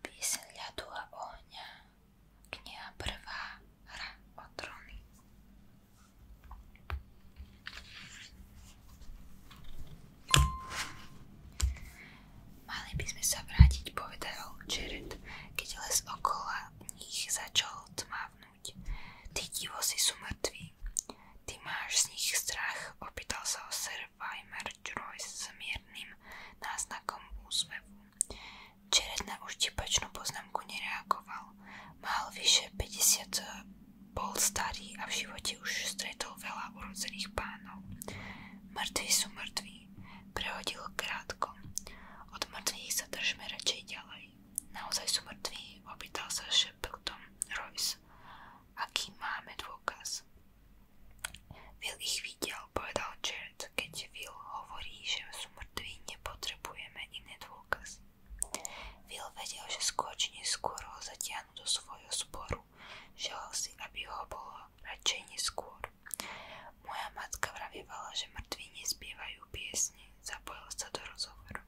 Píseň ľadu a ohňa, kniha prvá, hra o tróny. Mali by sme sa vrátiť, povedal Jared, keď les okolo nich začal tmavnúť. Tí divosi sú mŕtvi. Ty máš z nich strach, opýtal sa ho Sir Weimer Joyce s miernym náznakom úsmevu. Jared na uštipačnú poznámku nereagoval. Mal vyše 50 bol starý a v živote už stretol veľa urodzených pánov. Mŕtvi sú mŕtvi, prehodil krátko. Od mŕtvych sa držme radšej ďalej. Naozaj sú mŕtvi, opýtal sa šeptom Royce. Aký máme Keď Will hovorí, že sú mŕtvi, nepotrebujeme iné dôkazy. Will skôr ho zatiahnu do svojho sporu sestru. Želal si, aby ho bolo radšej neskôr. Moja matka vravievala, že mŕtvi nespievajú piesne. Zapojil sa do rozhovoru.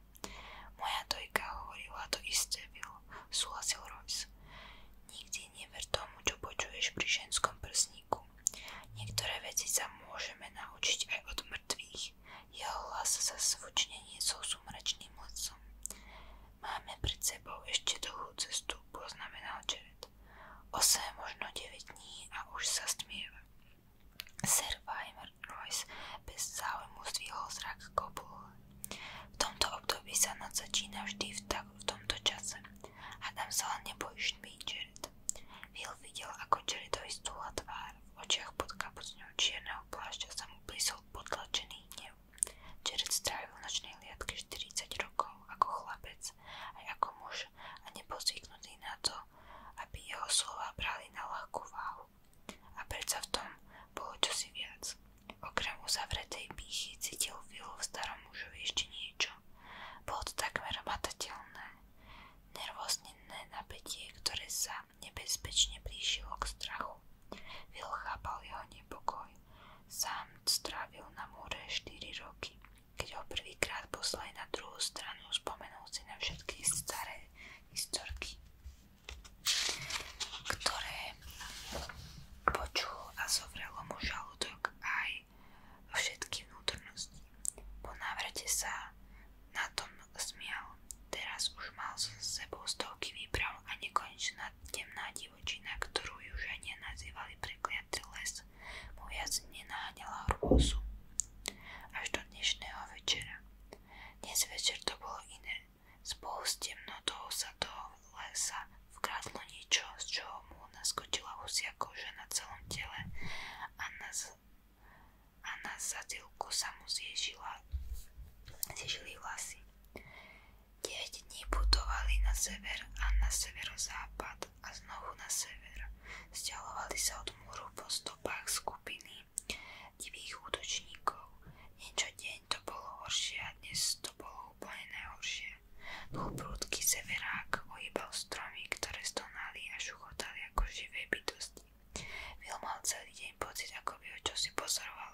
Moja dojka hovorila to isté, Will. Súhlasil Royce. Nikdy never tomu, čo počuješ pri ženskom prsníku. Niektoré veci sa môžeme naučiť aj od mŕtvych. Jeho hlas sa zvučne niesol sumračným lesom. Máme pred sebou ešte dlhú cestu, poznamenal Jared. 8, možno 9 dní a už sa stmieva. Sir Weimer Royce bez záujmu zdvihol zrak kopul. V tomto období sa noc začína vždy v, tak, v tomto čase. A tam sa len nebojíš tmy, Jared. Will videl, ako Jaredovi stúla tvár. V očiach pod kapucňou čierneho plášťa sa mu blízol potlačený hnev. Jared strávil nočnej liadke 40 rokov ako chlapec aj ako muž a nebol na to, aby jeho slova brali na ľahkú váhu. A predsa v tom bolo čosi viac. Okrem uzavretej pýchy cítil Phil v starom mužovi ešte niečo. Bolo to takmer matateľné. Nervózne napätie, ktoré sa nebezpečne blížilo k strachu. Will chápal jeho nepokoj. Sám strávil na múre 4 roky. Keď ho prvýkrát poslali na druhú stranu, spomenul si na všetky staré historky, ktoré počul a zovrelo mu žalúdok aj všetky vnútornosti. Po návrate sa na tom smial. Teraz už mal s sebou stovky výprav a nekonečná temná divá divočina, ktorú južania nazývali prekliatý les, mu viac nenáhnila hrôzu. Až do dnešného večera. Dnes večer to bolo iné. Spolu s temnotou sa do lesa vkradlo niečo, z čoho mu naskočila husia koža na celom tele a na, z... a na zadilku sa mu zježila, zježili vlasy. 9 putovali na sever a na severozápad a znovu na sever. Sťahovali sa od múru po stopách skupiny divých útočníkov. Niečo deň to bolo horšie dnes to bolo úplne najhoršie. Dlhoprúdky severák ohýbal stromy, ktoré stonali a šuchotali ako živé bytosti. Vil mal celý deň pocit, ako by ho pozoroval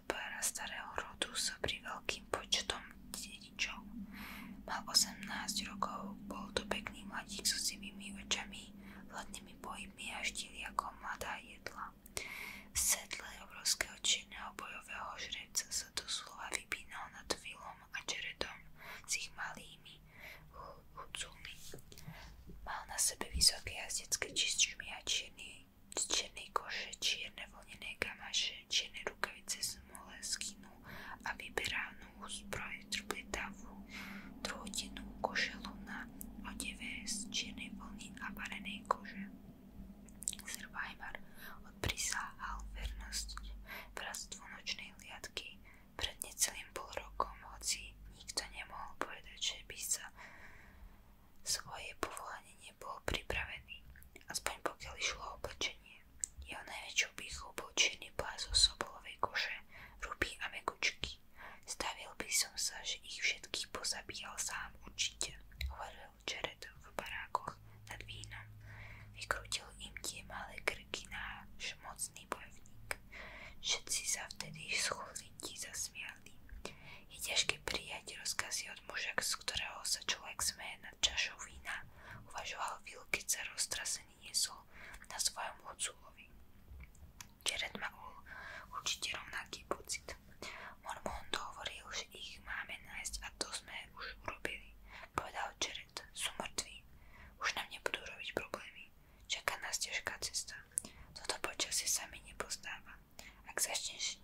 z opára starého rodu so pri veľkým počtom dedičov. Mal 18 rokov, bol to pekný mladík so sivými očami, hladnými pohybmi a štíli ako mladá jedla. V sedle obrovského činného bojového žrebca sa doslova vypínal nad Vilom a Jaredom s ich malými hudcúmi. Mal na sebe vysoké jazdecké čičmi a čierny z čiernej koše, čierne vlnené gamaše, čierne rukavice z mole, skinu a vyberávnu zbroj trpletavú, trhodinu košelu na odeve z čiernej vlny a varenej kože. Survivor odprisáhal vernosť bratstvu nočnej liadky pred necelým pol rokom, hoci nikto nemohol povedať, že by sa svoje povolanie nebol pripravený, aspoň pokiaľ išlo o oblečenie. Jeho najväčšou pýchou bol čierny pláz zo sobolovej koše, ruby a mekučky. Stavil by som sa, že ich všetkých pozabíjal sám určite, hovoril Jared v barákoch nad vínom. Vykrútil im tie malé krky náš mocný bojovník. Všetci sa vtedy schulniti zasmiali. Je ťažké prijať rozkazy od muža, z ktorého sa uvažoval Will, keď sa na svojom hocúlovi. Jared mal určite rovnaký pocit. Mormon hovoril, že ich máme nájsť a to sme už urobili. Povedal Jared, sú mŕtvi. Už nám nebudú robiť problémy. Čaká nás cesta. Toto počasie sa mi nepozdáva. Ak začneš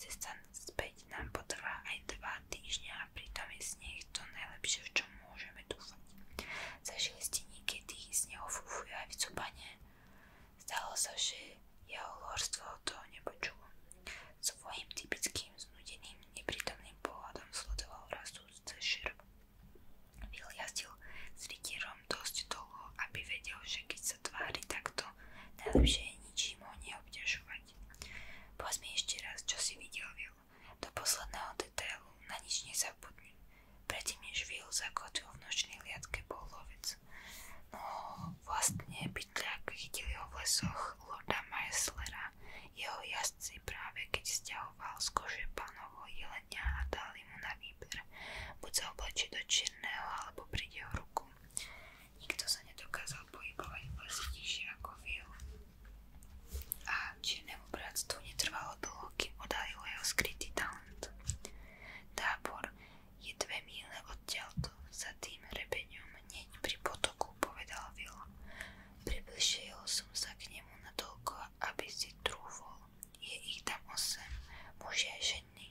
cesta späť, nám potrvá aj dva týždňa a pritom je sneh to najlepšie, v čom môžeme dúfať. Zažili ste niekedy snehofúfujú aj vycúbanie? Zdalo sa, že jeho lorstvo toho nepočulo. Svojím typickým znudeným, neprítomným pohľadom sledoval rastúce šerb. Vyliazdil s rytierom dosť dlho, aby vedel, že keď sa tvári takto, najlepšie je ničím ho neobťažovať. Povedz mi ešte raz, čo si videl, Will. Do posledného detailu na nič nezabudni. Predtým, než Will zakotvil v nočnej liadke, bol lovec. No, vlastne bytľak chytili ho v lesoch Lorda Maeslera. Jeho jazdci práve keď stiahoval z kože pánovho jelenia a dali mu na výber môže. Buď sa oblečí do čierneho, alebo príde o ruku. Nikto sa nedokázal pohybovať vlastne nižšie ako A čiernemu bratstvu netrvalo dlho, kým odhalilo jeho skrytý talent. Tábor je dve míle odtiaľto za tým rebeňom hneď pri potoku, povedal Will. Približil som sa k nemu natoľko, aby si trúfol. Je ich tam osem, muži a ženy.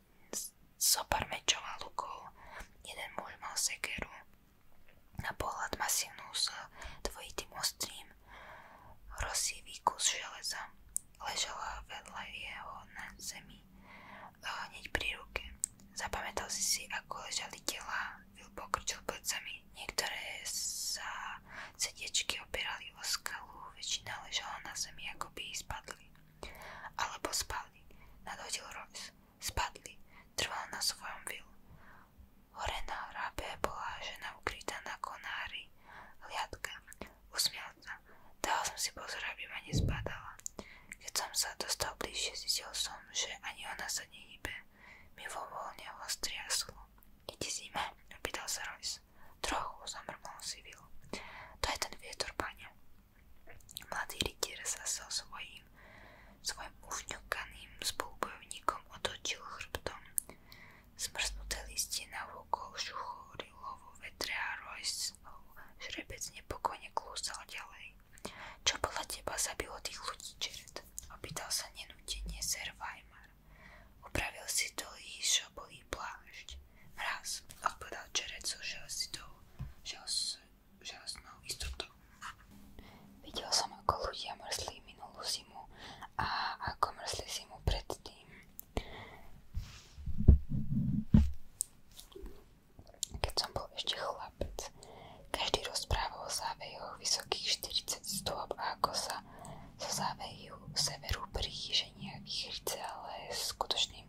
zopár mečov a lukov. Jeden muž mal sekeru na pohľad masívnu s dvojitým ostrým rozsivý kus železa. Ležala vedľa jeho na zemi, e, hneď pri ruke. Zapamätal si si, ako ležali tela, Vil pokrčil plecami. Niektoré sa sediečky opierali o skalu, väčšina ležala na zemi, ako by spadli. Alebo spali. Nadhodil Royce. Spadli. Trval na svojom vilu. Hore na hrabe bola žena ukrytá na konári. Hliadka. Usmial sa. Dal som si pozor, aby ma nezbadala. Keď som sa dostal bližšie, zistil som, že ani ona sa nehybe. Milovoľne ho striaslo. Ide zima? Opýtal sa Royce. Trochu zamrmol si vil. To je ten vietor, pane. Mladý rytier sa so svojím, svojim ufňukaným spolubojovníkom otočil chrbtom. Smrsnuté listie na vôkol šuchorilo vo vetre a Royce žrebec nepokojne klúsal ďalej. Čo podľa teba zabilo tých ľudí, Jared? Opýtal sa nenútenie Sir Weimar. Upravil si to líšo, bol bielý plášť. Mraz, odpovedal Jared so zimu a ako mrzli zimu predtým. Keď som bol ešte chlapec, každý vysokých 40 stôp a ako sa zo závejú severu príženia vychrce, ale skutočným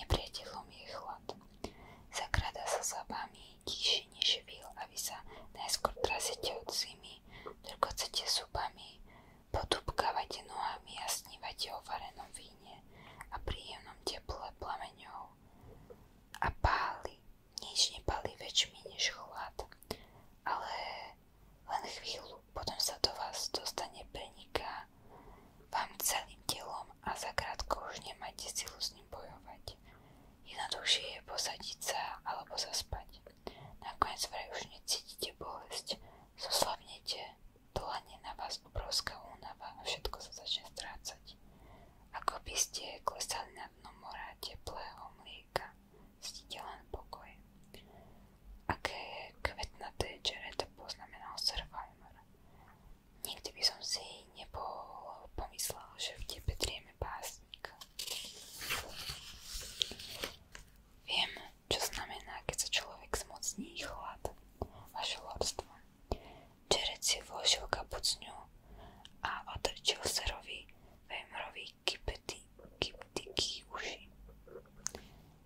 Nepriateľom je chlad. Zakrada sa zábami, tíši než víl a vy sa najskôr trasete od zimy, drgocete zubami, potupkávate nohami a snívate o varenom víne a príjemnom teple plameňov. A páli, nič nepáli väčšmi než chlad, ale len chvíľu, potom sa do vás dostane preniká zúfa vám celým telom a zakrátko už nemáte silu s ním bojovať. Jednoduchšie je posadiť sa alebo zaspať. Nakoniec vraj už necítite bolesť, zoslabnete, dlane na vás obrovská únava a všetko sa začne strácať. Ako by ste klesali na dno mora teplého mlieka, cítite len pokoj aké kvetnaté čereta poznamenal Sir Weimer. Nikdy by som si nebol pomyslel, že v tebe drieme básnik. Viem, čo znamená, keď sa človek zmocní chlad, vaše lordstvo. Čerec si vložil kapucňu a otrčil serovi Weimerovi kypetiky uši.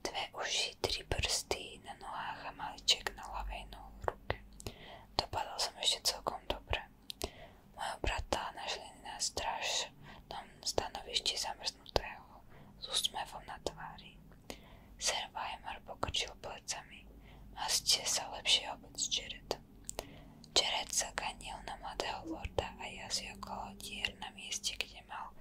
Dve uši, tri prsty na nohách a maliček na ľavej ruke. Dopadol som ešte celkom dobre. Mojho brata našli na strašnom stanovišti zamrznutého s úsmevom na tvári. Sir plecami. Mazte sa obec Jared. Jared ganil na mladého lorda a jazdil okolo na mieste, kde mal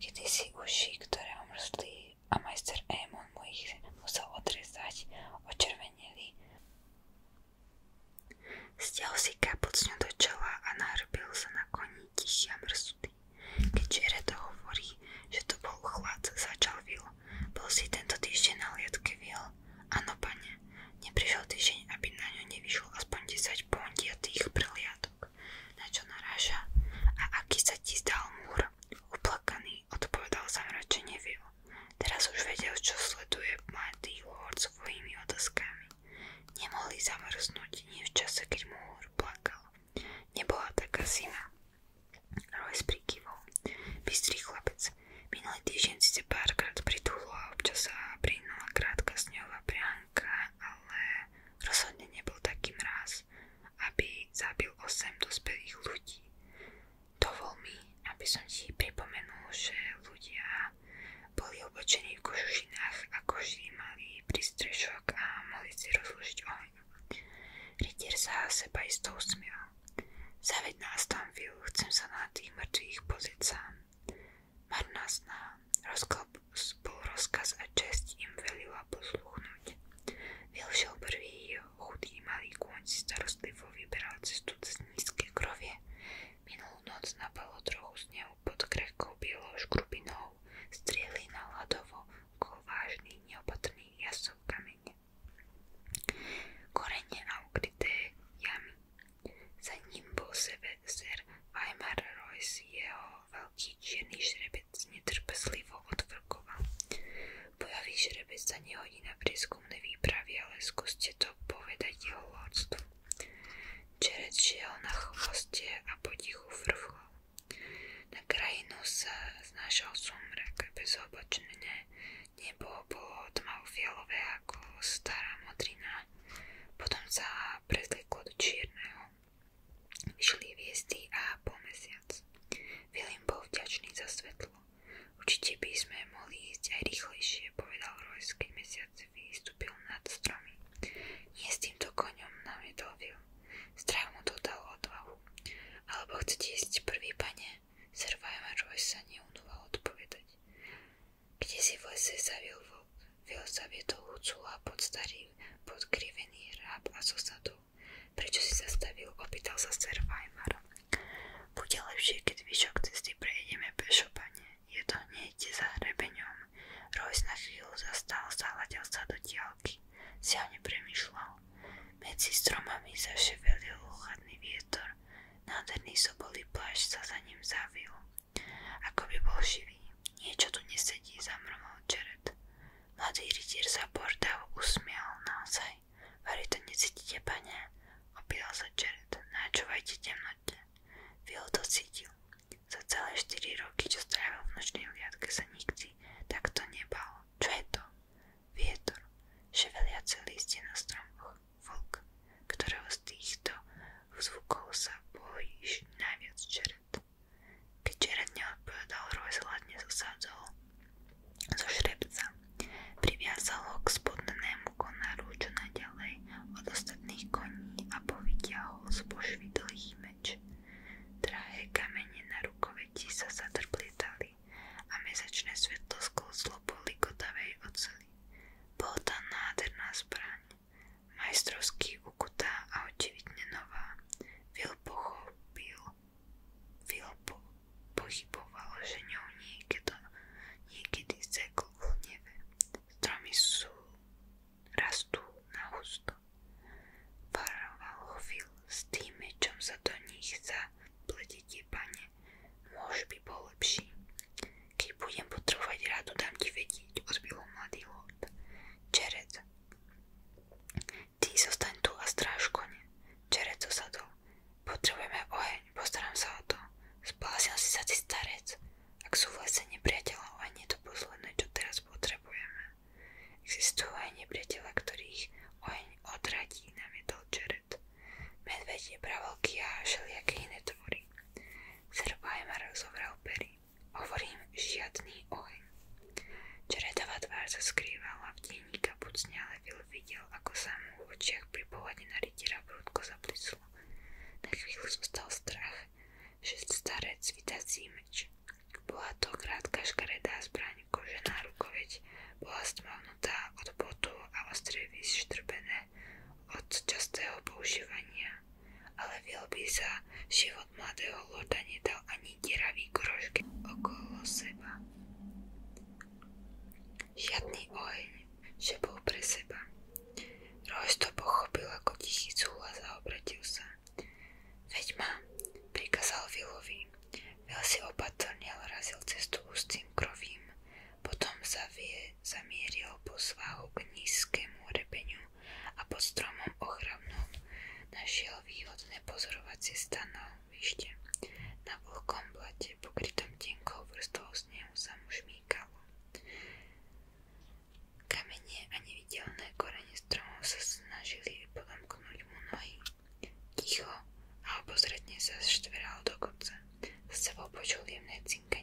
kedysi uši, ktoré omrzli a majster Émon mu ich musel odrezať, očervenili. Stial si kapucňu do čela a nahrbil sa na koni tichý a mrzutý. Keď Jared hovorí, že to bol chlad, začal Will. Bol si tento týždeň na hliadke Will. Áno, pane, neprišiel týždeň, aby na ňu nevyšlo aspoň 10 pondiatých preliadok na čo naráža a aký sa ti zdal múr. Uplakaný odpovedal zamračenie Will. Teraz už vedel, čo sleduje mladý lord svojimi otázkami. Nemohli zamrznúť nie v čase, keď múr plakal. Nebola taká zima. Royce prikyvol. Bystrý chlapec. Minulý týždeň síce párkrát pritúhla občas sa prinula krátka sňová prianka, ale Rozhodne nebol taký mráz, aby zabil 8 dospelých ľudí. Dovol mi, aby som pripomenul, že ľudia boli oblečení v kožušinách a koži mali prístrešok a mohli si rozložiť oheň. Rytier sa seba isto usmiel. Zaveď nás tam, Will, tých mŕtvych pozrieť sám. Marná bol rozkaz a česť im velila posluchnúť. Vilšel prvý jeho chudý malý kôň si starostlivo vyberal cestu cez nízke krovie. Minulú noc napalo trochu snehu pod krehkou bielou škrubinou, strieli na hladovo okolo vážnych neopatrných jasov kamene. Korene a ukryté jamy. Za ním bol sebe ser Weimar Royce jeho veľ ruky čierny šrebec netrpezlivo odvrkoval. Bojový šrebec sa nehodí na prieskumné výpravy, ale skúste to povedať jeho lordstvu. Čerec šiel na chvoste a potichu vrchol. Na krajinu sa znášal sumrak, bezobočné nebo bolo tmavo-fialové ako stará modrina. Potom sa prezliklo do čierneho. Vyšli hviezdy a po mesiac. William bol vďačný za svetlo. Určite by sme mohli ísť aj rýchlejšie, povedal Royce, keď mesiac vystúpil nad stromy. Nie s týmto koňom, namietol Will. Strach mu dodal odvahu. Alebo chcete ísť prvý, pane? Sir Weimer Royce sa neunúval odpovedať. Kde si v lese zavil vlk? Phil zaviedol Hucula pod starý podkrivený ráb a zosadol. Prečo si zastavil? Opýtal sa ser Weimar. Bude lepšie, keď vyšok cesty prejdeme pešo, pane. Je to hneď za hrebeňom. Rojs na chvíľu zastal, zahľadil sa do diálky. Siahne premyšľal. Medzi stromami zaševelil chladný vietor. Nádherný sobolý plášť sa za ním zavil. Ako by bol živý. Niečo tu nesedí, zamrmol Jared. Mladý rytier sa Bordav usmial naozaj. Vary to necítite, pane? Opýtal sa Jared. Načúvajte temnote. Phil to cítil. Za celé 4 roky, čo strávil v nočnej hliadke, sa nikdy takto nebal. Čo je to? Vietor. Ševeliace listie na stromoch. Vlk, ktorého z týchto zvukov sa bojíš najviac, Jared. Keď Jared neodpovedal, Royce zo šrebca. Priviazal k spodnému konáru čo naďalej od ostatných koní a povytiahol z pošvy dlhý meč. Drahé kamene na rukoveti sa zadrplietali a mesačné svetlo sklzlo po likotavej oceli. Bola nádherná zbraň, majstrovsky ukutá a očividne nová. Will pochopil, Will po, pochyboval, že ňou Stromy sú, rastú na Varoval ho s tým mečom sa do nich zapletíte, pane. Môž by bol lepší. Keď budem potrebovať radu, dám ti vedieť, odbil ho mladý lov. Čerec. Ty zostaň tu a stráž kone. Čerec osadol. Potrebujeme oheň, postaram sa o to. Zbláznil si sa ty starec. Ak sú v ani je to posledné, čo teraz potrebujeme. Existujú aj nepriateľa, ktorých oheň odradí, namietol Čeret. Medveď je pravelky a všelijaké tvory. Srbajmar rozovrel pery. Hovorím, žiadny oheň. Čeredová tvár sa skrývala v tieni kapucne, ale Phil videl, ako sa mu v očiach pri pohľade na rytiera prudko zaplislo. Na chvíľu zostal strach, že starec vydá meč. Bola to krátka škaredá zbraň, kožená rukoveď, bola stmavnutá od botu a ostrie vyštrbené od častého používania ale by sa život mladého lorda nedal ani deravý grožky okolo seba. Žiadny oheň, že bol pre seba. Royce to pochopil ako tichý cúhlas a zaobratil sa. Veď ma, prikázal Willovi. Will si opatrne razil cestu ústým krovím, potom zavie, zamieril po svahu k nízkemu repeniu a pod stromom ochramnom našiel výhodné pozorovacie stanovište. Na vlhkom pokrytom tenkou vrstvou snehu, sa mu a nevidelné korene stromov sa snažili podomknúť mu Ticho a obozretne sa do kopca. Za sebou počul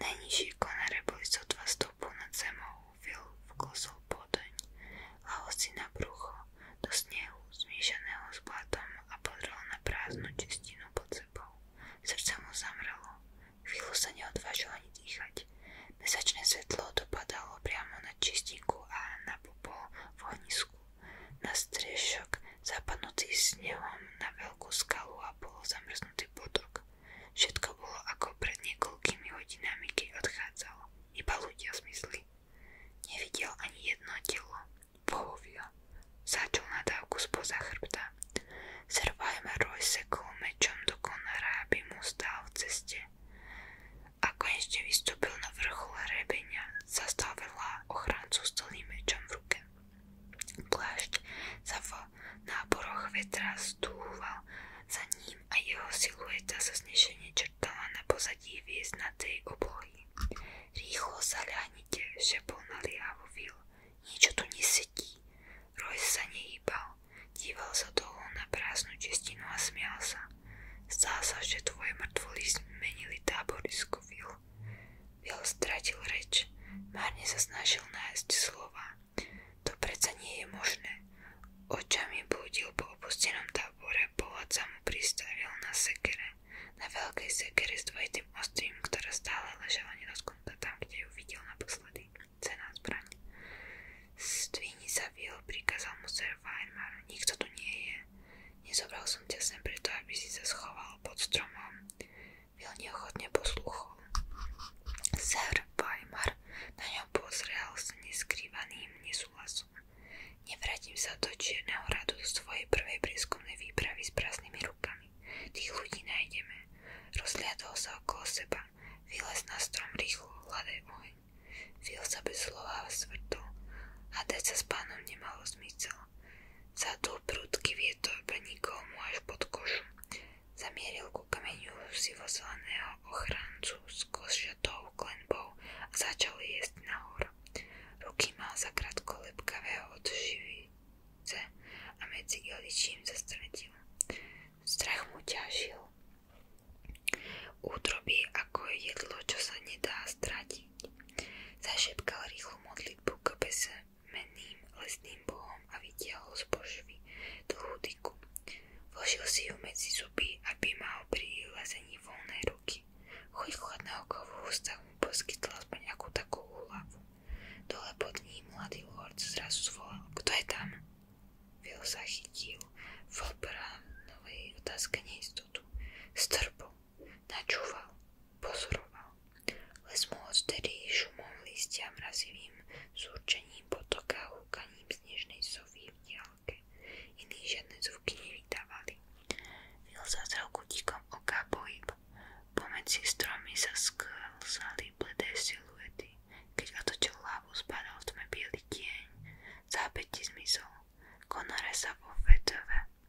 Nejnižší konáre boli sotva stopou nad zemou, vklosol podoň, lahol si na brucho, do snehu, zmiešaného s blatom a podrel na prázdnu čistinu pod sebou. Srdce mu zamrelo, chvíľu sa neodvážil ani dýchať. Mesačné svetlo dopadalo priamo na čistinku a na popol v ohnisku. Na striešok zapadnutý snehom na veľkú skalu a bol zamrznutý potok. Všetko bolo ako pred niekoľkými hodinami, keď odchádzal. Iba ľudia zmysli. Nevidel ani jedno telo. Pohovia. Začal na dávku spoza chrbta. Sir Weimeroj sekol mečom do konára, aby mu stál v ceste. A konečne vystúpil na vrchol hrebenia, zastal vedľa ochrancu s celým mečom v ruke. Plášť sa v náboroch vetra stúval za ním a jeho silueta sa znešenie črtala na pozadí vieznatej oblohy. Rýchlo sa ľahnite, šepol naliavo Will. Niečo tu nesedí. Royce sa nehýbal. Díval sa dolu na prázdnu čistinu a smial sa. Zdá sa, že tvoje mŕtvoly zmenili táborisko, Will. Bill stratil reč. Márne sa snažil nájsť slova. To predsa nie je možné. Očami blúdil po opustenom tábore, pohľad sa mu pristavil na sekere. Na veľkej sekere s dvojitým ostrým, ktorá stále ležala nedotknutá tam, kde ju videl naposledy. Cená zbraň. Stvíni sa Bill, prikázal mu Sir Weimar. Nikto tu nie je. Nezobral som ťa sem preto, aby si sa schoval pod stromom. Vil neochotne poslúchol. Sir Weimar na ňom pozrel s neskrývaným nesúhlasom. Nevrátim sa do Čierneho radu do svojej prvej prieskumnej výpravy s prázdnymi rukami. Tých ľudí nájdeme. Rozhľadol sa okolo seba. Vylez na strom rýchlo, hľadaj oheň. Vil sa bez slova svrtol. Hádať sa s pánom nemalo zmysel. Zadul prúdky vietor, prenikol mu až pod kožu. Zamieril ku kameniu sivozeleného ochrancu s košatou klenbou a začal jesť nahor. Ruky mal zakrátko lepkavého od živice a medzi iličím zastretil. Strach mu ťažil. útroby ako jedlo, čo sa nedá stratiť. Zašepkal rýchlu modlitbu k bese, menným lesným bohom a vytiahol z pošvy dlhú dyku. Vložil si ju medzi zuby, aby mal pri lezení ruky. Chuť chladného kovu ústav mu poskytla aspoň akú takú Dole pod ním mladý lord zrazu zvolal, kto je tam? Vil chytil v obranovej otázke neistotu. Strpol, načúval, pozoroval. Les mu odtedy šumom listia mrazivým zúrčením potoka a húkaním snežnej sovy v diálke. Iní žiadne zvuky nevydávali. Vil zazrel kutíkom oka pohyb. Pomedzi stromy sa sklzali bledé siluety. Keď otočil hlavu, spadal v tme bielý tieň. Zápäti zmizol. Konore sa vo vetve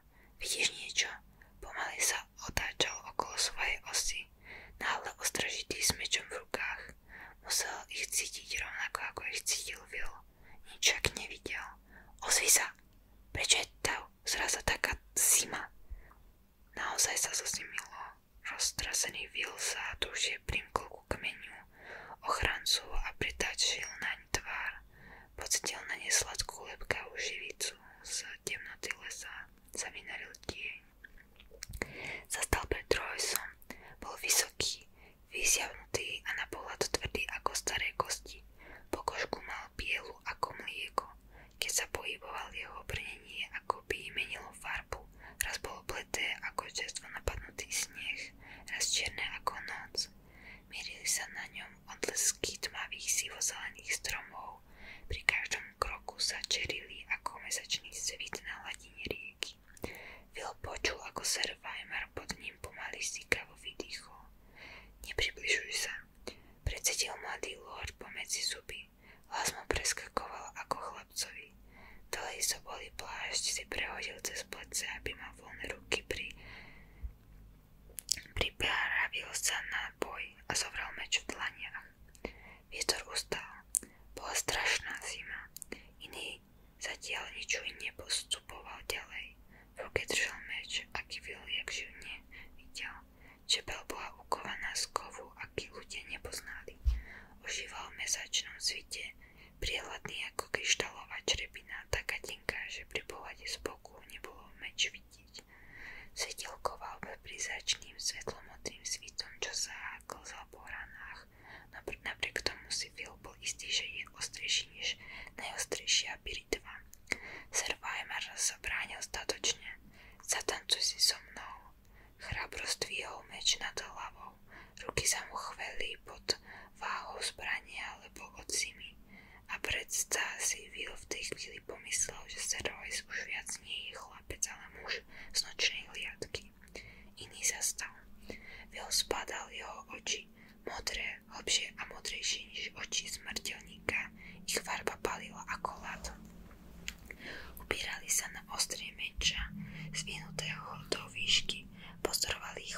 farár. Vidíš niečo? Pomaly sa otáčal okolo svojej osy, náhle ostražitý s mečom v rukách. Musel ich cítiť rovnako, ako ich cítil Will. Nič však nevidel. Ozvi sa! Prečo je to zraza taká zima? Naozaj sa zozimilo. Roztrasený Will sa dušie primkol ku kmeniu ochrancu a pritačil naň tvár. Pocitil na ne sladkú lepkavú živicu, z temnoty lesa sa vynaril tieň. Zastal pred Trojsom, bol vysoký, vysiavnutý a na pohľad tvrdý ako staré kosti. Pokožku mal bielu ako mlieko, keď sa pohyboval jeho brnenie, ako by menilo farbu. Raz bolo bledé ako čerstvo napadnutý sneh, raz čierne ako noc. Mierili sa na ňom odlesky tmavých sivozelených stromov, pri každom kroku sa čerili ako mesačný svit na hladine rieky. Phil počul, ako Sir Weimar pod ním pomaly stikavo vydýchol. Nepribližuj sa, predsedil mladý lord pomedzi zuby. Hlas mu preskakoval ako chlapcovi. Dlhý sobolý plášť si prehodil cez plece, aby mal voľné ruky pri Pripravil sa na boj a zovrel meč v dlaniach. Vietor ustal. Bola strašná zima. Iný zatiaľ ničuj nepostupoval ďalej. V ruke držal meč a kivil, jak živne videl. Čepel bola ukovaná z kovu, aký ľudia nepoznali. Ožíval v mesačnom svite, priehľadný ako kryštálová črepina, taká tenká, že pri pohľade z boku nebolo meč vidieť. Svetielkoval pri začným svetlomodrým svitom, čo sa klzal po ranách. Napriek tomu si Phil bol istý, že je ostrejší než najostrejšia piritva. Sir Weimar sa bránil statočne. Zatancuj si so mnou. Chrabro stvíhol meč nad hlavou. Ruky sa mu chveli pod váhou zbrania alebo od zimy. A predsa si Will v tej chvíli pomyslel, že Steroids už viac nie je chlapec, ale muž z nočnej hliadky. Iný zastal. Will spadal jeho oči, modré, hlbšie a modrejšie než oči smrteľníka. Ich farba palila ako lad. Upírali sa na ostrie meča, zvinutého do výšky, pozorovali ich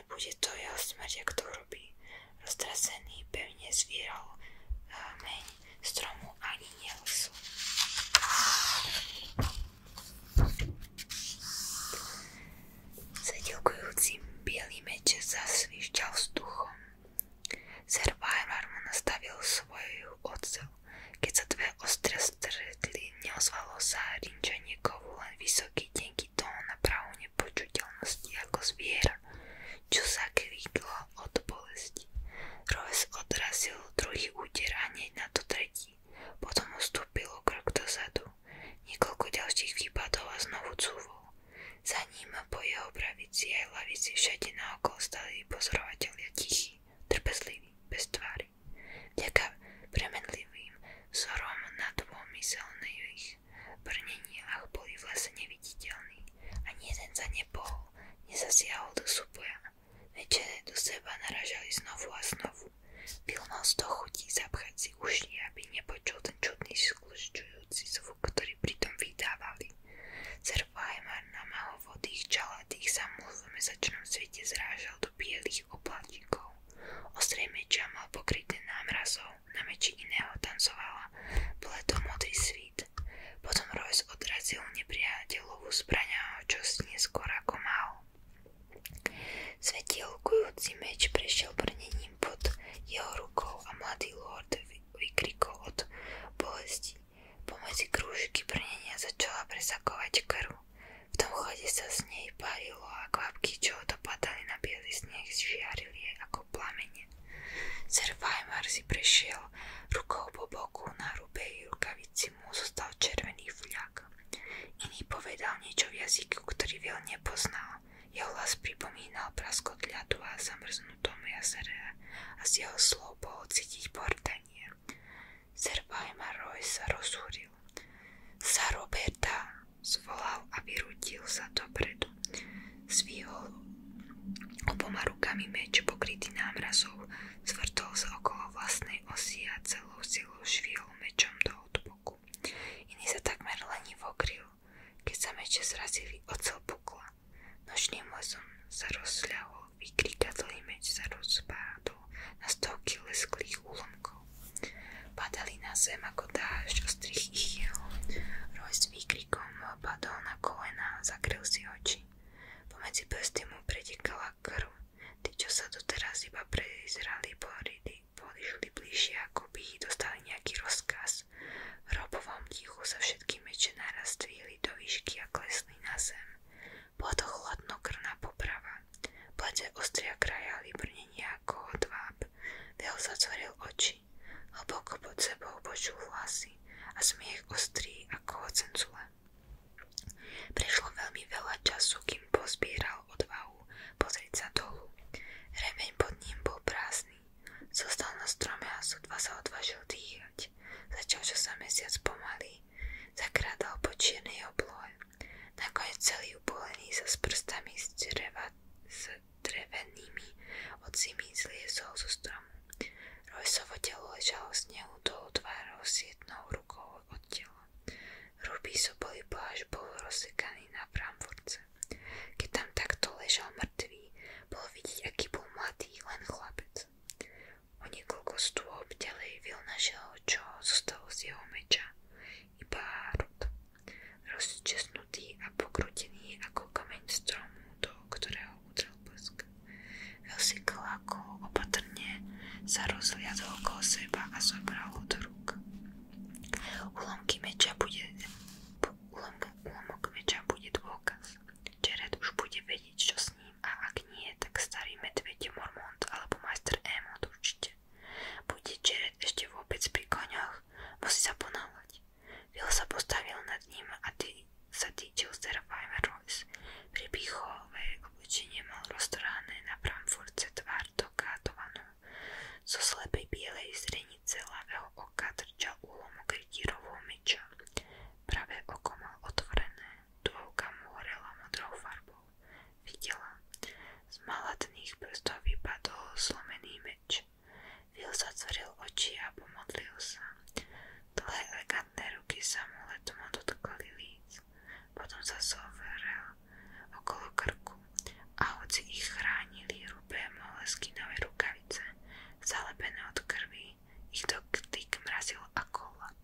bude to jeho smrť, ak to urobí. Roztrasený pevne zvíral meň stromu ani nelesu. Zadelkujúcim bielý meč zasvišťal vzduchom. Zervajvar mu nastavil svoju oceľ. Keď sa dve ostre stretli, neozvalo sa rinčanie kovu, mal vysoký tenký tón na pravú nepočuteľnosti ako zviera, čo sa kvíklo od bolesti. Roves odrazil druhý úder a hneď na to tretí. Potom ustúpil o krok dozadu. Niekoľko ďalších výpadov a znovu cúvol. Za ním po jeho pravici aj lavici všade naokolo stali pozorovatelia tichí, trpezliví, bez tvári. Vďaka premenlivým vzorom na dvomyselných Brnenia ale boli v lese neviditeľní. Ani jeden za nepohol, nezasiahol do súboja. Večere do seba naražali znovu a znovu. Bill mal z toho chutí zapchať si aby nepočul ten čudný sklučujúci zvuk, ktorý pritom vydávali. Zervajmar na maho čalatých sa svete zrážal do bielých oblatíkov. Ostrie meča mal pokryté námrazou, na meči iného tancovala bledomodrý svít. Potom Royce odrazil nepriateľovú zbraňa, čo si neskôr ako mal. Svetielkujúci meč prešiel brnením pod jeho rukou a mladý lord vykrikol od bolesti. Pomedzi krúžky brnenia začala presakovať krv. V tom chode sa z nej pálil žiarilo a kvapky, čo dopadali na biely sneh, žiarili ako plamene. Sir Weimar si prešiel rukou po boku, na rubej rukavici mu zostal červený vľak. Iný povedal niečo v jazyku, ktorý veľ nepoznal. Jeho hlas pripomínal praskot ľadu a zamrznutom jazere a z jeho slov bolo cítiť bordanie. Sir Weimar Roy sa rozúril. Za Roberta, Zvolal a vyrútil sa dopredu. Zvýhol oboma rukami meč pokrytý námrazou, zvrtol sa okolo vlastnej osy a celou silou švihol mečom do odboku. Iný sa takmer lenivo kryl, keď sa meče zrazili ocel pukla. Nočným mozom sa rozľahol, vykrikadlý meč sa rozpádol na stovky lesklých úlomkov. Padali na zem ako dážď ostrých ichiel. Rojs na kolena, zakryl si oči. Pomedzi prsty mu pretekala krv. čo sa doteraz iba prezrali po rydy, ako by dostali nejaký rozkaz. robovom tichu sa všetky meče naraz do výšky a klesli zem. Bola to poprava. ostria krajali brne ako hodváb. Veo zatvoril oči. Hlboko pod sebou počul hlasy a smiech ostrý ako ocen zule. Prešlo veľa času, kým pozbieral odvahu pozrieť sa dolu. Remeň pod ním bol prázdny. Zostal na strome a sotva sa odvážil dýchať. Začal, čo sa mesiac pomaly. Zakrádal po čiernej oblohe. Nakoniec celý upolený sa s prstami z, dreva, s drevenými ocimi zliezol zo stromu. Rojsovo telo ležalo v snehu dolu tvárou s jednou rukou od tela. Hrubý sobolý pláž bol rozsekaný na Frankfurtce. Keď tam takto ležal mŕtvý, bolo vidieť, aký bol mladý, len chlapec. O niekoľko stôp ďalej Vil našiel, čo zostalo z jeho meča iba rud, rozčesnutý a pokrutený ako kameň stromu, do ktorého udrel blesk. Elsie Kláko opatrne sa rozhliadol okolo seba a zobral ho do rúk. Ulomky meča bude... Ulomka, ulomok meča bude dôkaz. Jared už bude vedieť, čo s ním a ak nie, tak starý medveď Mormont alebo majster Emond určite ešte. Budiče ešte vôbec pri koňoch, musí sa ponáhľať. Will sa postavil nad ním a tý, sa týčil z Dervajma Royce. Pripichové obličenie mal roztrhané na Frankfurtce tvár dokátovanú. Zo slepej bielej zrenice ľavého oka trčal úlomok rytírovou myča. Pravé oko mal otvorené, dôvka mu horela modrou farbou videla. Z malatných prstov vypadol slomený meč. Will zatvoril oči a pomodlil sa. Dlhé elegantné ruky sa mu letom dotkli líc. Potom sa zoverel okolo krku a hoci ich chránili hrubé moleskinové rukavice, zalepené od krvi, ich dotyk mrazil ako hlad.